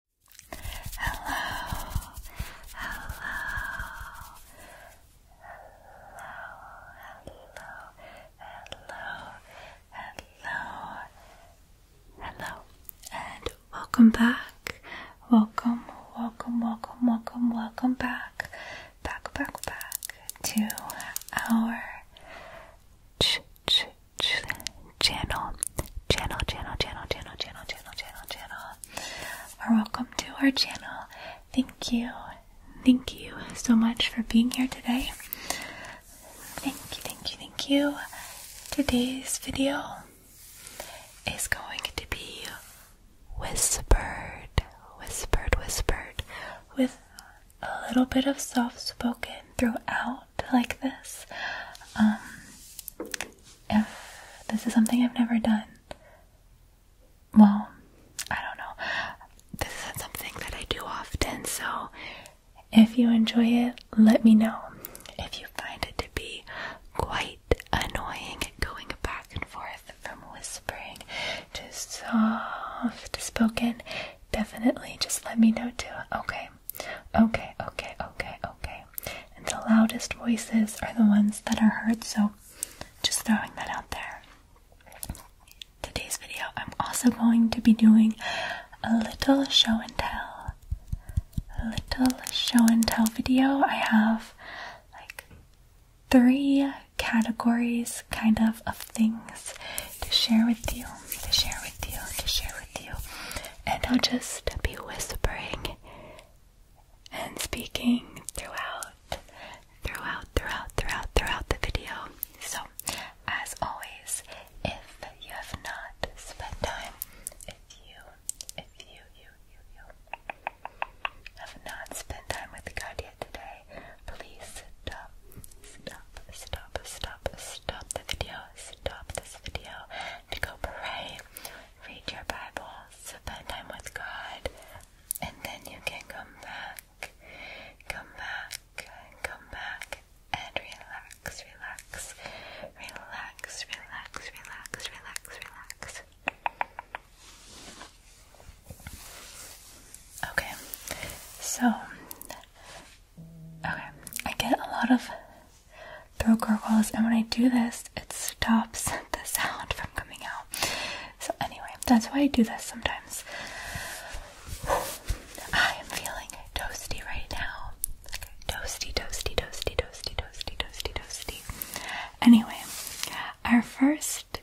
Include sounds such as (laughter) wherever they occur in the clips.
Hello, hello, hello, hello, hello, hello, and welcome back. Welcome, welcome, welcome, welcome, welcome back, back, back, back to our ch ch ch channel, channel, channel, channel, channel, channel, channel, channel, channel, are welcome to our channel. Thank you, thank you so much for being here today. Thank you, thank you, thank you. Today's video is going to be whispered, whispered, whispered with a little bit of soft spoken throughout like this. Um, if this is something I've never done, well, I don't know. This isn't something that I do often, so if you enjoy it, let me know. If you find it to be quite annoying going back and forth from whispering to soft spoken, definitely just let me know too, okay? Okay, okay, okay, okay. And the loudest voices are the ones that are heard, so just throwing that out there. Today's video, I'm also going to be doing a little show and tell. A little show and tell video. I have like three categories kind of of things to share with you, to share with you, to share with you and I'll just be whispering and speaking throughout, throughout, throughout, throughout, throughout the video. So, as always, if you have not spent time, if you, if you, you, you, you have not spent time with God yet today, please stop, stop, stop, stop, stop the video, stop this video, to go pray, read your Bible, spend time with God, and then you can come back, come back, come back, and relax, relax, relax, relax, relax, relax, relax. Okay, so, okay, I get a lot of broker was, and when I do this, it stops (laughs) the sound from coming out. So, anyway, that's why I do this sometimes. I am feeling toasty right now. Okay, toasty, toasty, toasty, toasty, toasty, toasty, toasty. Anyway, our first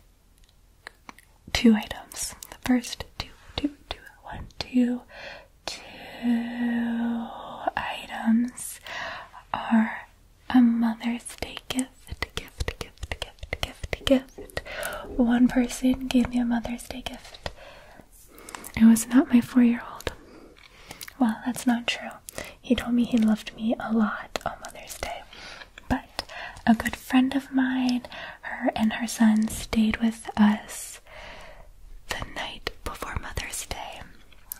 two items. The first two, two, two, one, two, two items are a Mother's Day gift, gift, gift, gift, gift, gift. One person gave me a Mother's Day gift. It was not my four year old. Well, that's not true. He told me he loved me a lot on Mother's Day. But a good friend of mine, her and her son stayed with us the night before Mother's Day.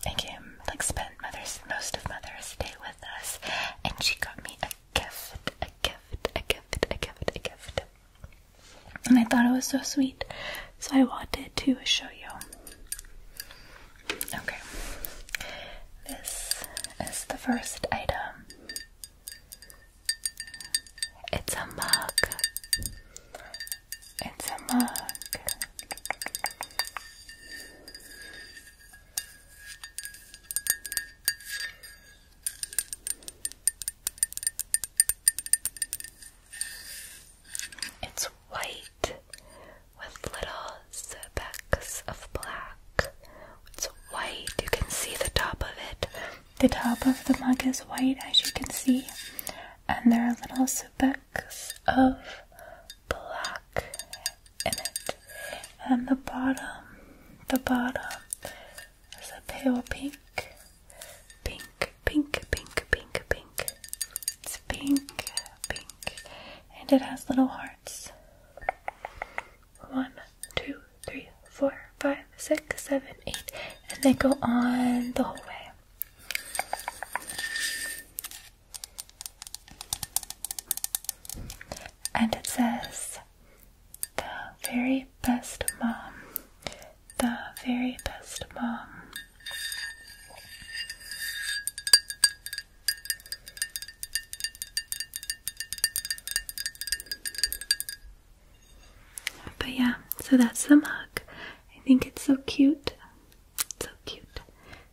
I came, like, spent Mother's most of Mother's Day with us, and she got me a gift, a gift, a gift, a gift, a gift. And I thought it was so sweet, so I wanted to show you. Okay, this is the first item. It's a mug. It's a mug. It's white with little specks of black. It's white. You can see the top of it. The top of the mug is white, as you can see, and there are little specks of black in it, and the bottom, the bottom is a pale pink, pink, pink, pink, pink, pink. It's pink, pink, and it has little hearts. One, two, three, four, five, six, seven, eight, and they go on the whole way. And it says, the very best mom, the very best mom. But yeah, so that's the mug. I think it's so cute. It's so cute.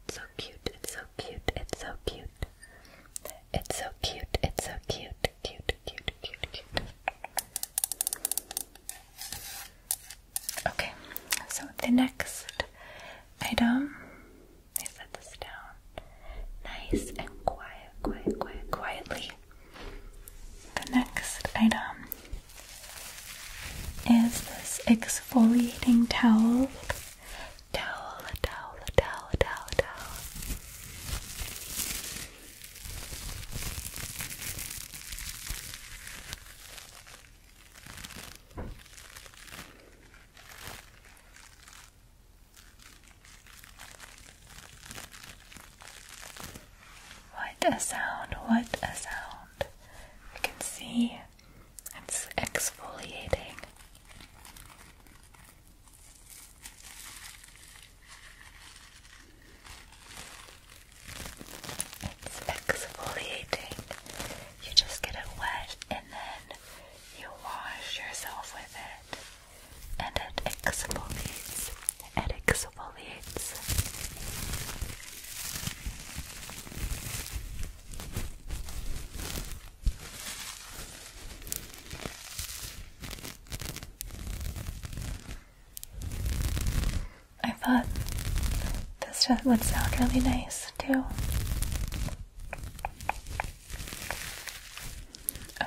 It's so cute. It's so cute. It's so cute. It's so cute. It's so cute. Cute, cute, cute, cute. Okay, so the next item, I set this down nice and quiet, quiet, quiet, quietly. The next item is this exfoliating towel. Towel, towel, towel, towel, towel. What a sound, what a sound. You can see it's exfoliating. It's exfoliating. You just get it wet and then you wash yourself with it, and it exfoliates exfoliates. I thought this would sound really nice too.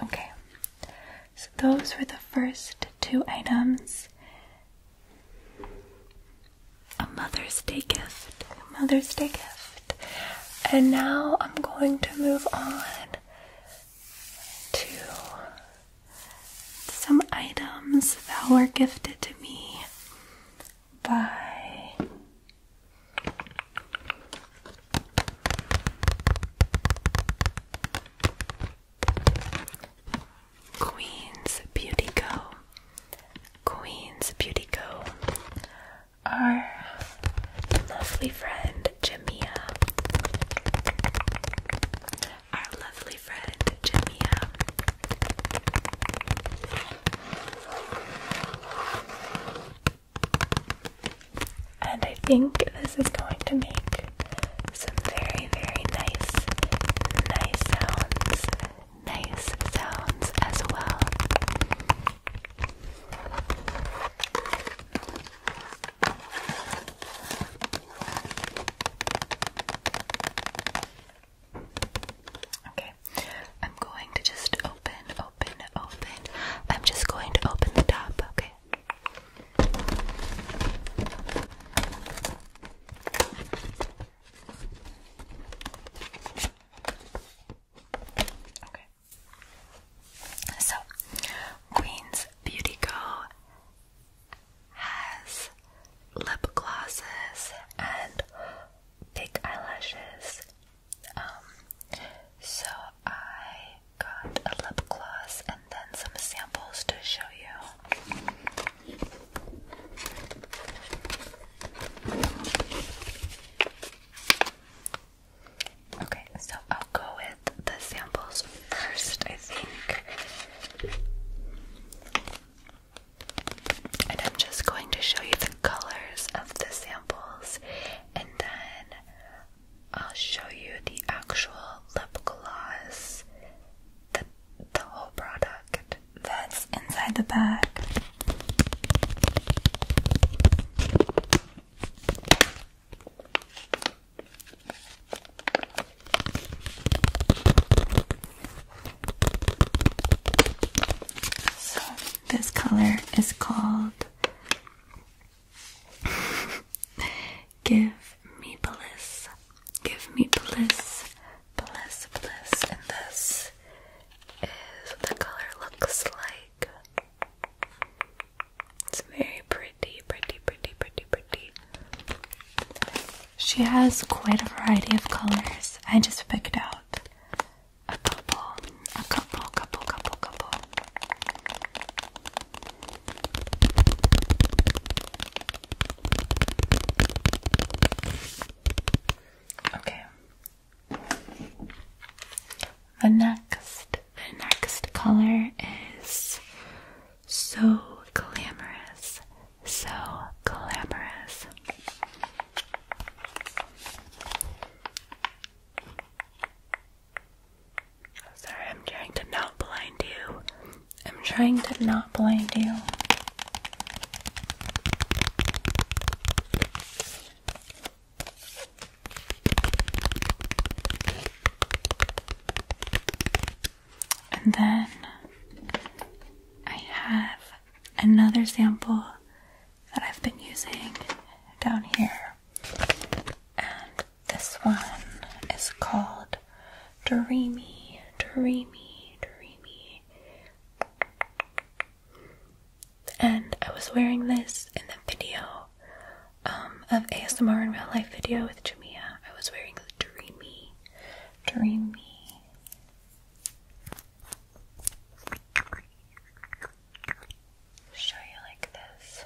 Okay, so those were the first two items. A Mother's Day gift. A Mother's Day gift. And now I'm going to move on to some items that were gifted to me by Queen's Beauty Co. Queen's Beauty Co. Our lovely friend Jamia. Our lovely friend Jamia. And I think this is going to make some very, very nice, nice sounds, nice sounds as well. Okay, I'm going to just open, open, open. I'm just going to open the top, okay? Okay. So, Queen's Beauty Co. has lip glosses and big eyelashes. Um, so I got a lip gloss and then some samples to show you. Okay, so I'll go with the samples first, I think. And I'm just going to show you the colors of the samples, and then I'll show you the actual lip gloss the, the whole product that's inside the bag. So, this color is called (laughs) Give me bliss, give me bliss, bliss, bliss, and this is the color looks like. It's very pretty, pretty, pretty, pretty, pretty. She has quite a variety of colors. I just picked out a couple, a couple, couple, couple, couple. Okay. The next, the next color is so glamorous, so glamorous. Sorry, I'm trying to not blind you. I'm trying to not blind you. And then I have another sample that I've been using down here, and this one is called Dreamy, Dreamy, Dreamy. And I was wearing this in the video um, of ASMR in real life video with Jamia. I was wearing the Dreamy, Dreamy. Show you like this.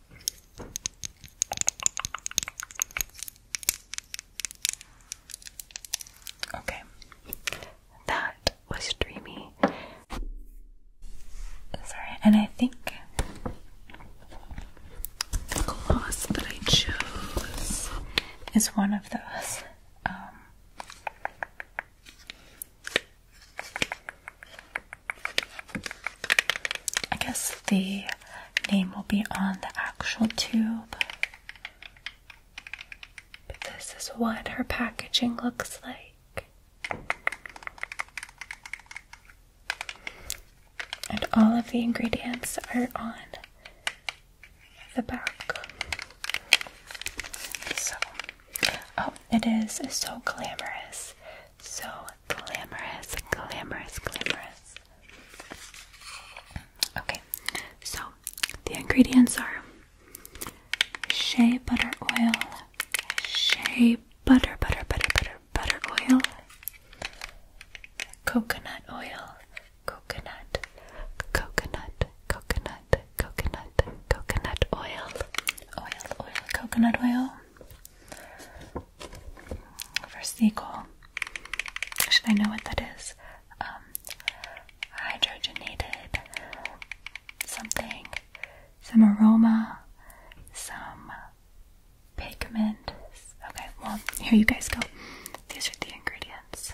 Okay, that was dreamy. Sorry, and I think the gloss that I chose is one of those. Um, I guess the name will be on the actual tube. But this is what her packaging looks like. And all of the ingredients are on the back. So, oh, it is so glamorous. So glamorous, glamorous, glamorous. Okay, so the ingredients are shea butter oil, shea butter, butter, butter, butter, butter oil, coconut oil, coconut, coconut, coconut, coconut, coconut oil, oil, oil, coconut oil, for seagull. Should I know what that is? Um, hydrogenated something, some aroma, some pigment. Okay, well, here you guys go. These are the ingredients.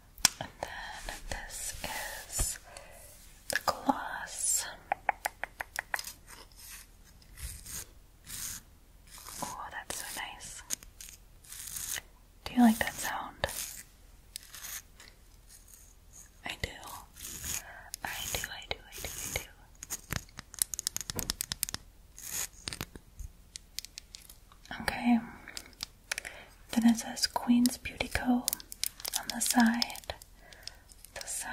And then this is the gloss. Oh, that's so nice. Do you like that sound? I do. I do, I do, I do, I do. Okay, then it says Queen's Beauty Co. on the side. The side.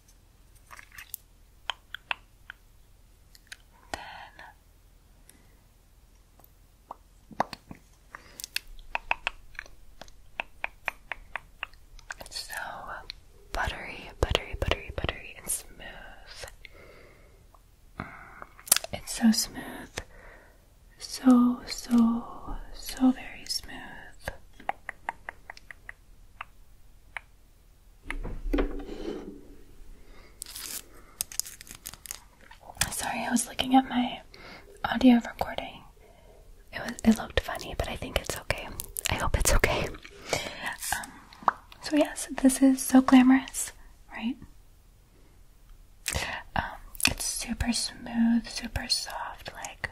it's so buttery, buttery, buttery, buttery, and smooth. Mm, it's so smooth. So, so, so very smooth. Sorry, I was looking at my audio recording. It was it looked funny, but I think it's okay. I hope it's okay. Um, so yes, this is so glamorous, right? Um, it's super smooth, super soft, like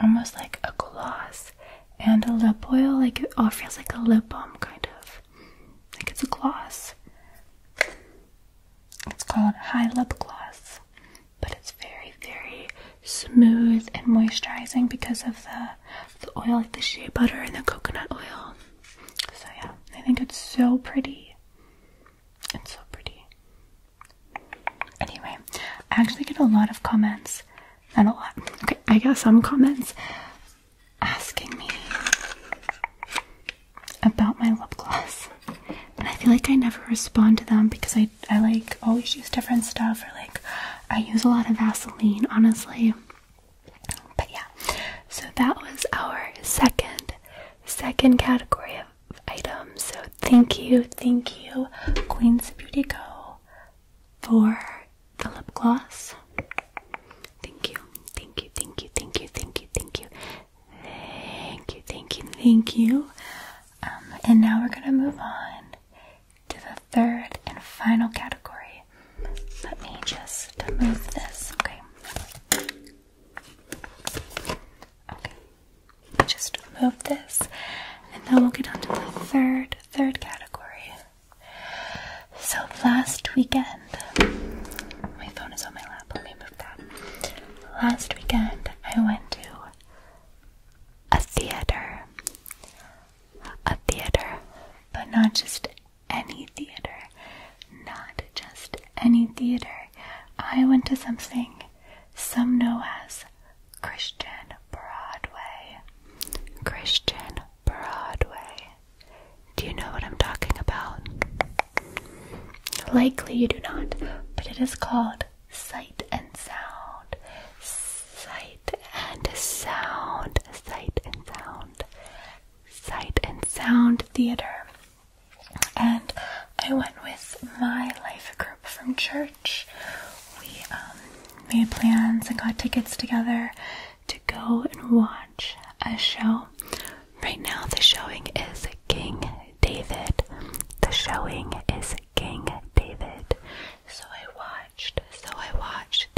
almost like a gloss and a lip oil. Like it all feels like a lip balm, kind of. Like it's a gloss. It's called High Lip Gloss, but it's very, very smooth and moisturizing because of the oil, like the shea butter and the coconut oil. So yeah, I think it's so pretty. It's so pretty. Anyway, I actually get a lot of comments and a lot. Okay, I got some comments asking me about my lip gloss. And I feel like I never respond to them because I, I like always use different stuff or like I use a lot of Vaseline, honestly. But yeah, so that was our second, second category of items. So thank you, thank you, Queen's Beauty Co for the lip gloss. Thank you, thank you, thank you, thank you, thank you, thank you, thank you, thank you, thank you. Um, and now we're gonna move on to the third and final category. Let me just move this, okay? Okay, just move this, and then we'll get on to the third third category. So last weekend, my phone is on my lap, let me move that. Last weekend, I went to a theater. A theater, but not just any theater. Not just any theater. I went to something some know as Christian Broadway. Christian Broadway. Do you know what I'm talking about? Likely you do not, but it is called Sight and Sound. Sight and Sound. Sight and Sound. Sight and Sound Theater. And I went with my life group from church church. We um, made plans and got tickets together to go and watch a show. Right now, the showing is King David. The showing is King David. So I watched, so I watched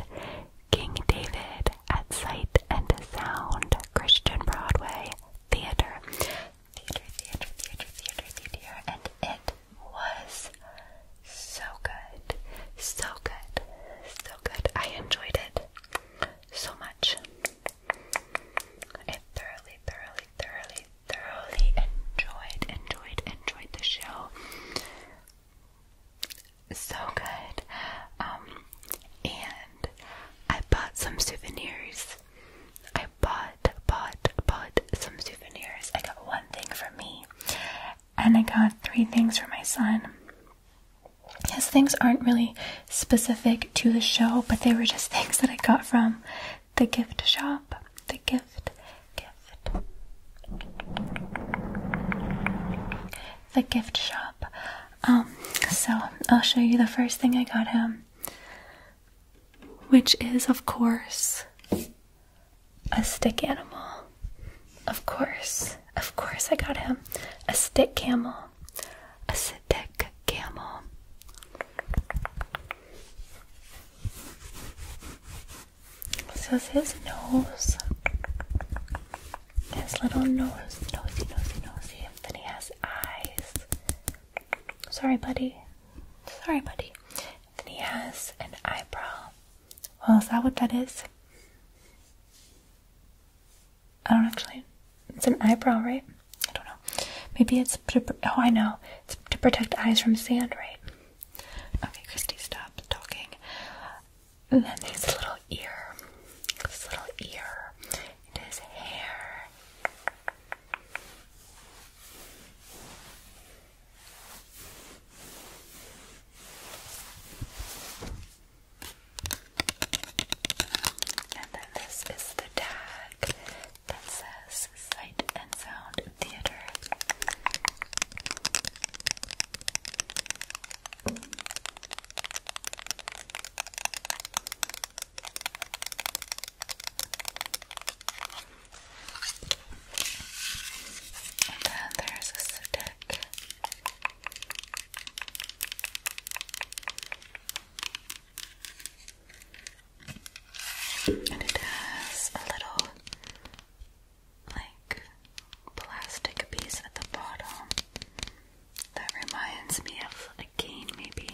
King David at Sight and Sound Christian Broadway Theater. Theater, theater, theater, theater, theater, and it was so good, so good, so good. I enjoyed it so much. I thoroughly, thoroughly, thoroughly, thoroughly enjoyed, enjoyed, enjoyed the show. So good. Um, and I bought some souvenirs. I bought bought, bought, bought some souvenirs. I got one thing for me, and I got three things for my son. His things aren't really specific to the show, but they were just (laughs) things that I got from the gift shop. The gift, gift. The gift shop. Um, so I'll show you the first thing I got him, which is, of course, a stick animal. Of course. Of course I got him. A stick camel. A stick camel. This is his nose. His little nose. Nosy, nosy, nosy. Then he has eyes. Sorry, buddy. Sorry, buddy. Then he has an eyebrow. Well, is that what that is? I don't actually. It's an eyebrow, right? I don't know. Maybe it's. Oh, I know. It's to protect eyes from sand, right? Okay, Christy, stop talking. And then there's a little ear. This little ear. his hair. And then this is the tag that says Sight and Sound Theater. And then there's a Sudeck. And it has a little like plastic piece at the bottom that reminds me of a cane maybe.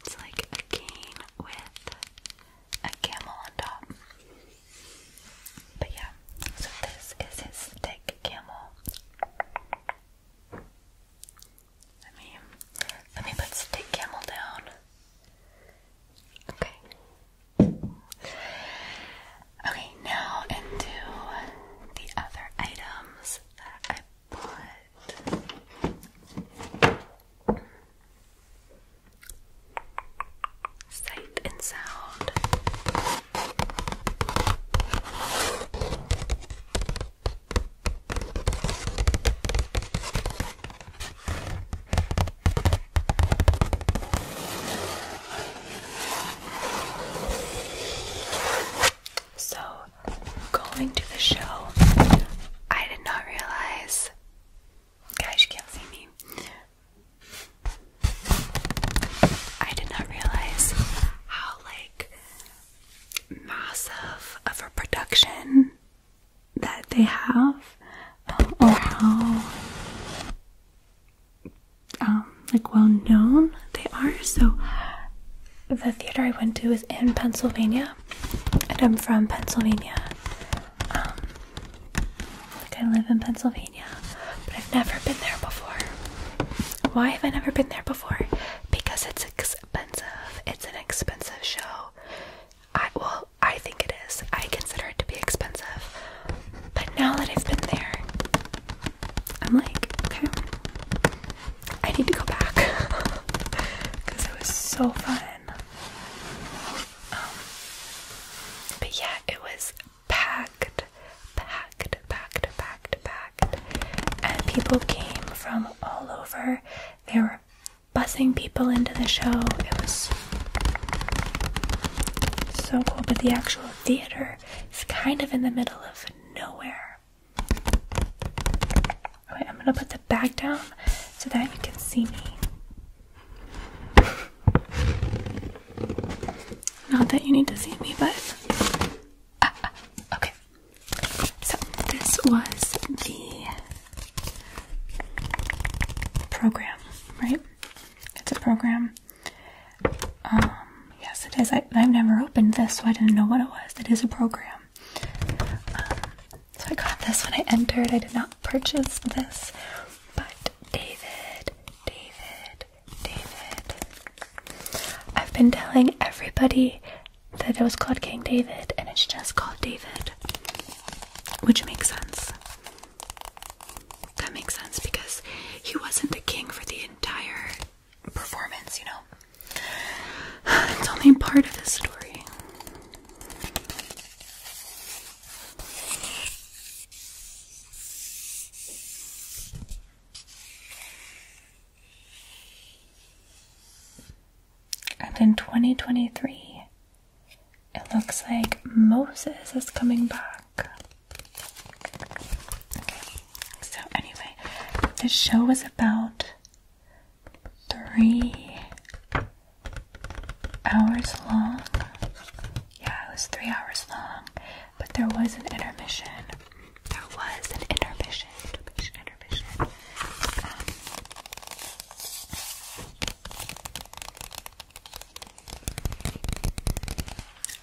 It's like a cane with a camel on top. But yeah, so this is his thick camel. Let me let me put stick camel down. Okay. Okay, now into the other items that I bought. Sight and sound. So, going to the show, I did not realize Gosh, you can't see me. I did not realize how like massive of a production that they have, or how um, like well known they are. So the theater I went to is in Pennsylvania, and I'm from Pennsylvania. Um, like I live in Pennsylvania, but I've never been there before. Why have I never been there before? Because it's expensive. It's an expensive show. I well, I think it is. I consider it to be expensive. But now that I've been there, I'm like, okay, I need to go back because (laughs) it was so fun. Um, but yeah, it was packed, packed, packed, packed, packed. And people came from all over. They were bussing people into the show. It was so cool. But the actual theater is kind of in the middle of nowhere. Okay, I'm gonna put the bag down so that you can see me. Not that you need to see me, but okay. So this was the program, right? It's a program. Um, yes, it is. I, have never opened this, so I didn't know what it was. It is a program. Um, so I got this when I entered. I did not purchase this, but David, David, David. I've been telling everybody that it was called King David, and it's just called David, which makes sense. That makes sense because he wasn't a king for the entire performance, you know. (sighs) It's only part of the story. And in 2023, it looks like Moses is coming back. so anyway, this show is about three hours long. Yeah, it was three hours long, but there was an intermission. There was an intermission, intermission, intermission. Um,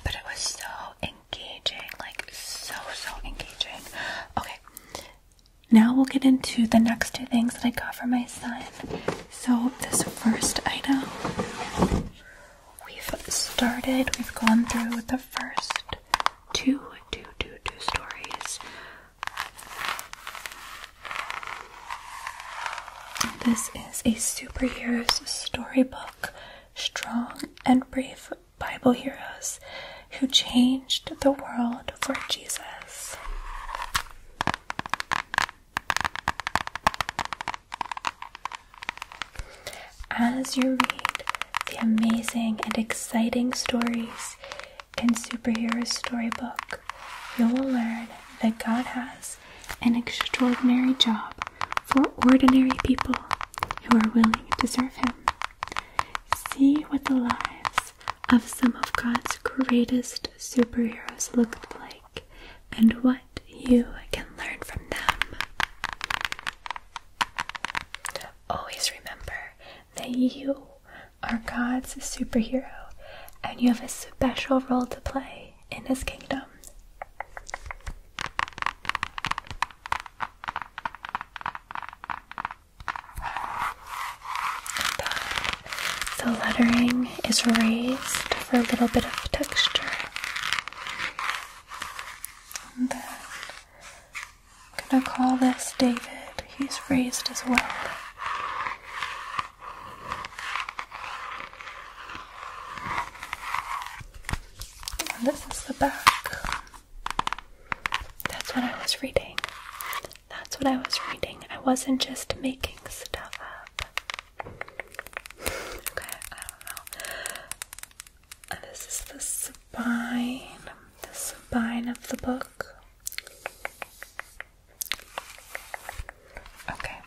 but it was so engaging, like so, so engaging. Okay, now we'll get into the next two things that I got for my son. So, this first item, we've started, we've gone through the first two, two, two, two stories. This is a superheroes storybook, strong and brave Bible heroes who changed the world for Jesus. As you read the amazing and exciting stories in Superhero Storybook, you will learn that God has an extraordinary job for ordinary people who are willing to serve Him. See what the lives of some of God's greatest superheroes looked like and what you can learn from them. Always remember that you are God's superhero and you have a special role to play in His kingdom. The lettering is raised for a little bit of texture. I'm gonna call this David. He's raised as well. this is the back. That's what I was reading. That's what I was reading. I wasn't just making stuff up. Okay, I don't know. Uh, this is the spine, the spine of the book. Okay,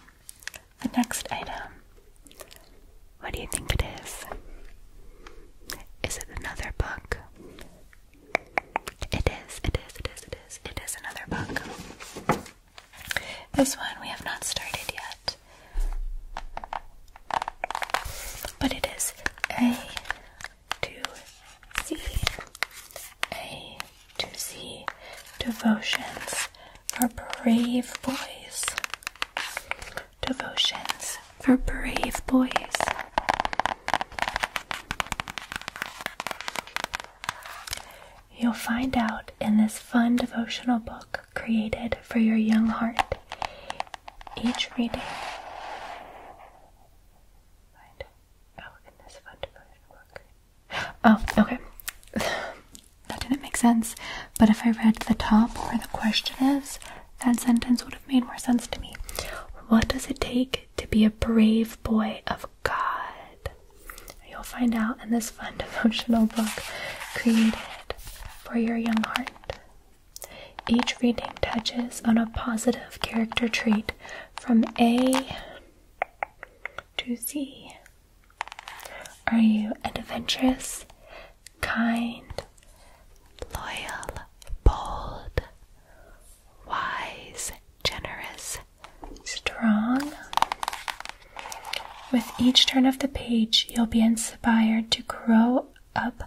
the next item. What do you think it is? Is it another book? It is, it is, it is, it is, it is another book. This one we have not started yet. But it is A to C. A to C Devotions for Brave Boys. Devotions for Brave Boys. You'll find out in this fun devotional book created for your young heart. Each reading. Oh, oh okay. (sighs) that didn't make sense. But if I read the top where the question is, that sentence would have made more sense to me. What does it take to be a brave boy of God. You'll find out in this fun (laughs) devotional book created for your young heart. Each reading touches on a positive character trait from A to Z. Are you adventurous, kind, loyal, bold, wise, generous, strong. With each turn of the page, you'll be inspired to grow up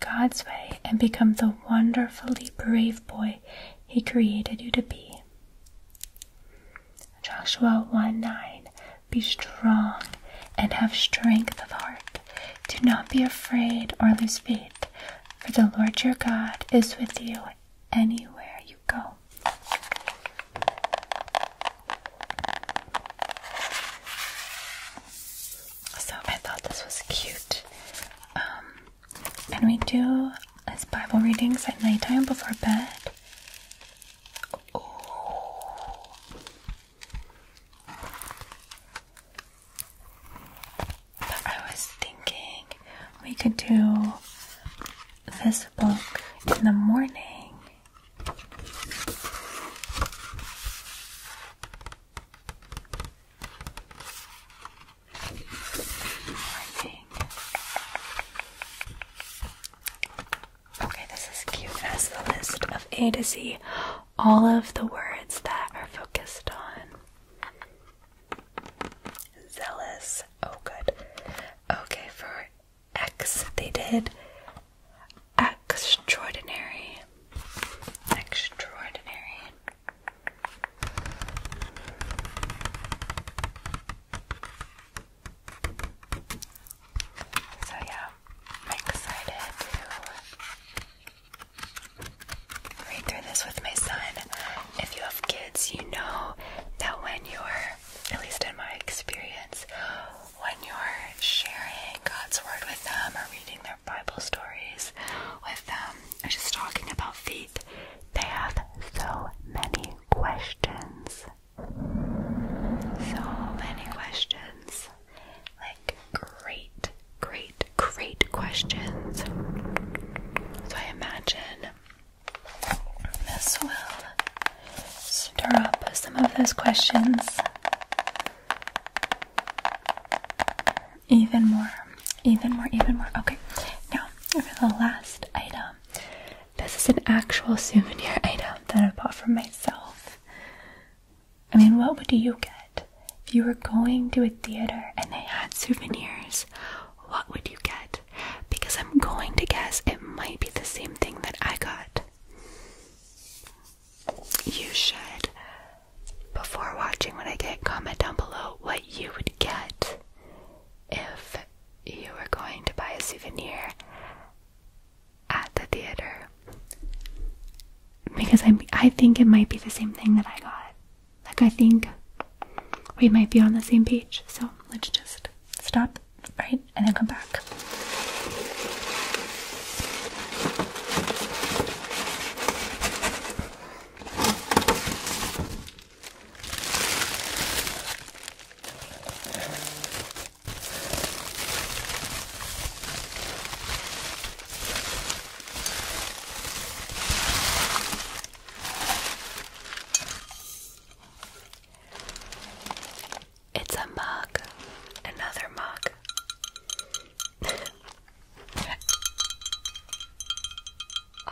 God's way and become the wonderfully brave boy He created you to be. Joshua 1 9 Be strong and have strength of heart. Do not be afraid or lose faith, for the Lord your God is with you anywhere you go. So I thought this was cute. Um, and we do Bible readings at nighttime before bed. I was thinking we could do this book in the morning. Okay, this is cute. It has the list of A to Z, all of the words that are focused on Zealous. Oh, good. Okay, for X, they did extraordinary. Extraordinary. So, yeah, I'm to Read through this with my son. If you have kids, you know that when you're, at least in my experience, when you're sharing God's Word with them or reading their Bible stories with them, or just talking about faith, they have so many questions. So many questions. Like, great great, great questions. So I imagine this will stir up some of those questions even more, even more, even more. Okay, now for the last item, this is an actual souvenir (laughs) item that I bought for myself. I mean, what would you get? If you were going to a theater and they had souvenirs, what would you get? Because I'm going to guess it might be the same thing that I got. You should, before watching when I get, comment down below what you would get if you were going to buy a souvenir at the theater. Because I I think it might be the same thing that I got. Like, I think we might be on the same page. So let's just stop, right? And then come back. It's a mug, another mug.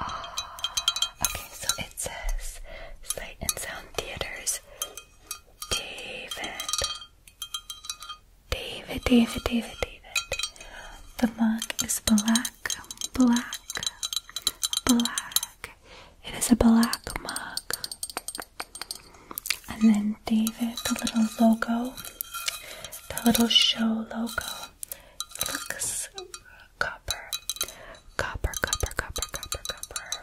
oh, (laughs) okay, so it says Sight and Sound Theaters, David. David, David, David, David. The mug is black, black, black. It is a black mug. And then David, the little logo, the little show logo. looks copper, copper, copper, copper, copper, copper.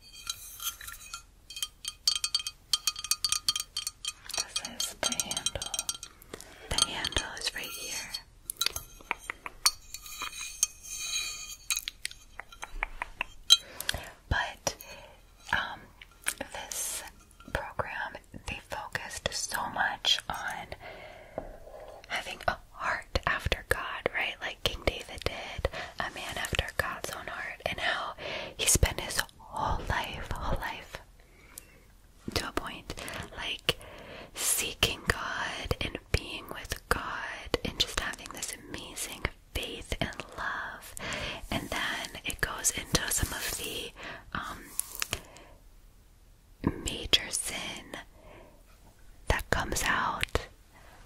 This is the handle. The handle is right here. But um, this program they focused so much on having a heart after God, right? Like King David did, a man after God's own heart and how he spent his whole life, whole life to a point like seeking God and being with God and just having this amazing faith and love. And then it goes into some of the um, major sin that comes out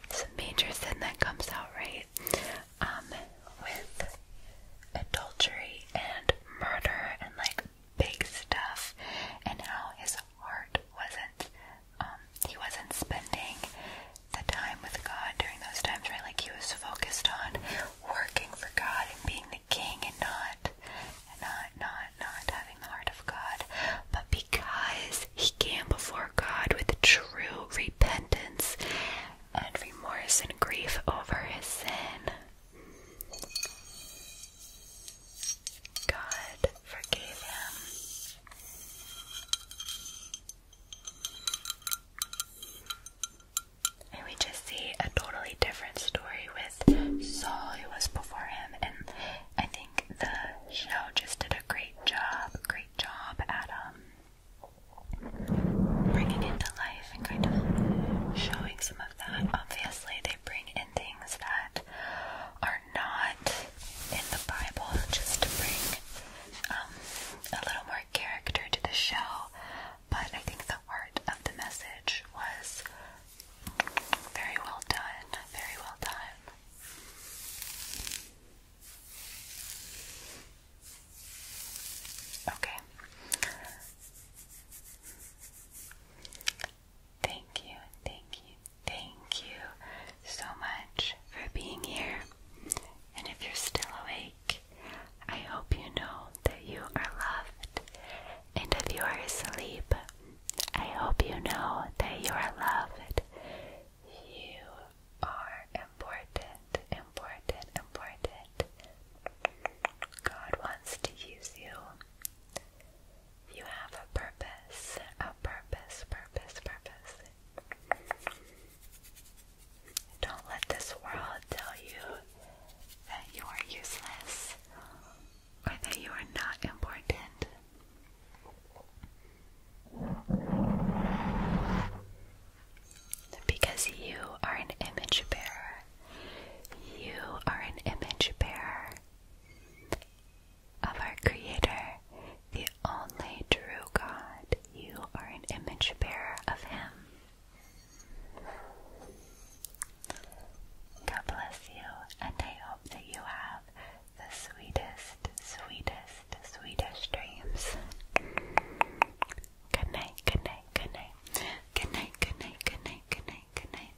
it's a major sin that comes out, right? Um, with adultery and murder and like big stuff, and how his heart wasn't, um, he wasn't spending the time with God during those times, right? Like he was focused on working for God and being the king and not, and not, not, not having the heart of God. But because he came before God with true repentance and remorse and grief over his sin. God forgave him. And we just see a totally different story with Saul, who was before him. And I think the show just did a great job, great job Adam bringing it life and kind of showing some of that. Obviously, they bring in things that are not in the Bible just to bring um, a little more character to the show. But I think the art of the message was very well done. Very well done. Okay. Thank you, thank you, thank you so much for being here. And if you're still awake, I hope you know that you are loved. And if you are asleep, I hope you know that you are loved. You are important, important, important. God wants to use you. You have a purpose, a purpose, purpose, purpose. Don't let this world tell you that you are useless or that you are not important. Because you are an image bearer. You are an image bearer of our Creator, the only true God. You are an image bearer of Him. God bless you, and I hope that you have the sweetest, sweetest to Swedish dreams. Good night, good night, good night. Good night, good night, good night, good night, good night.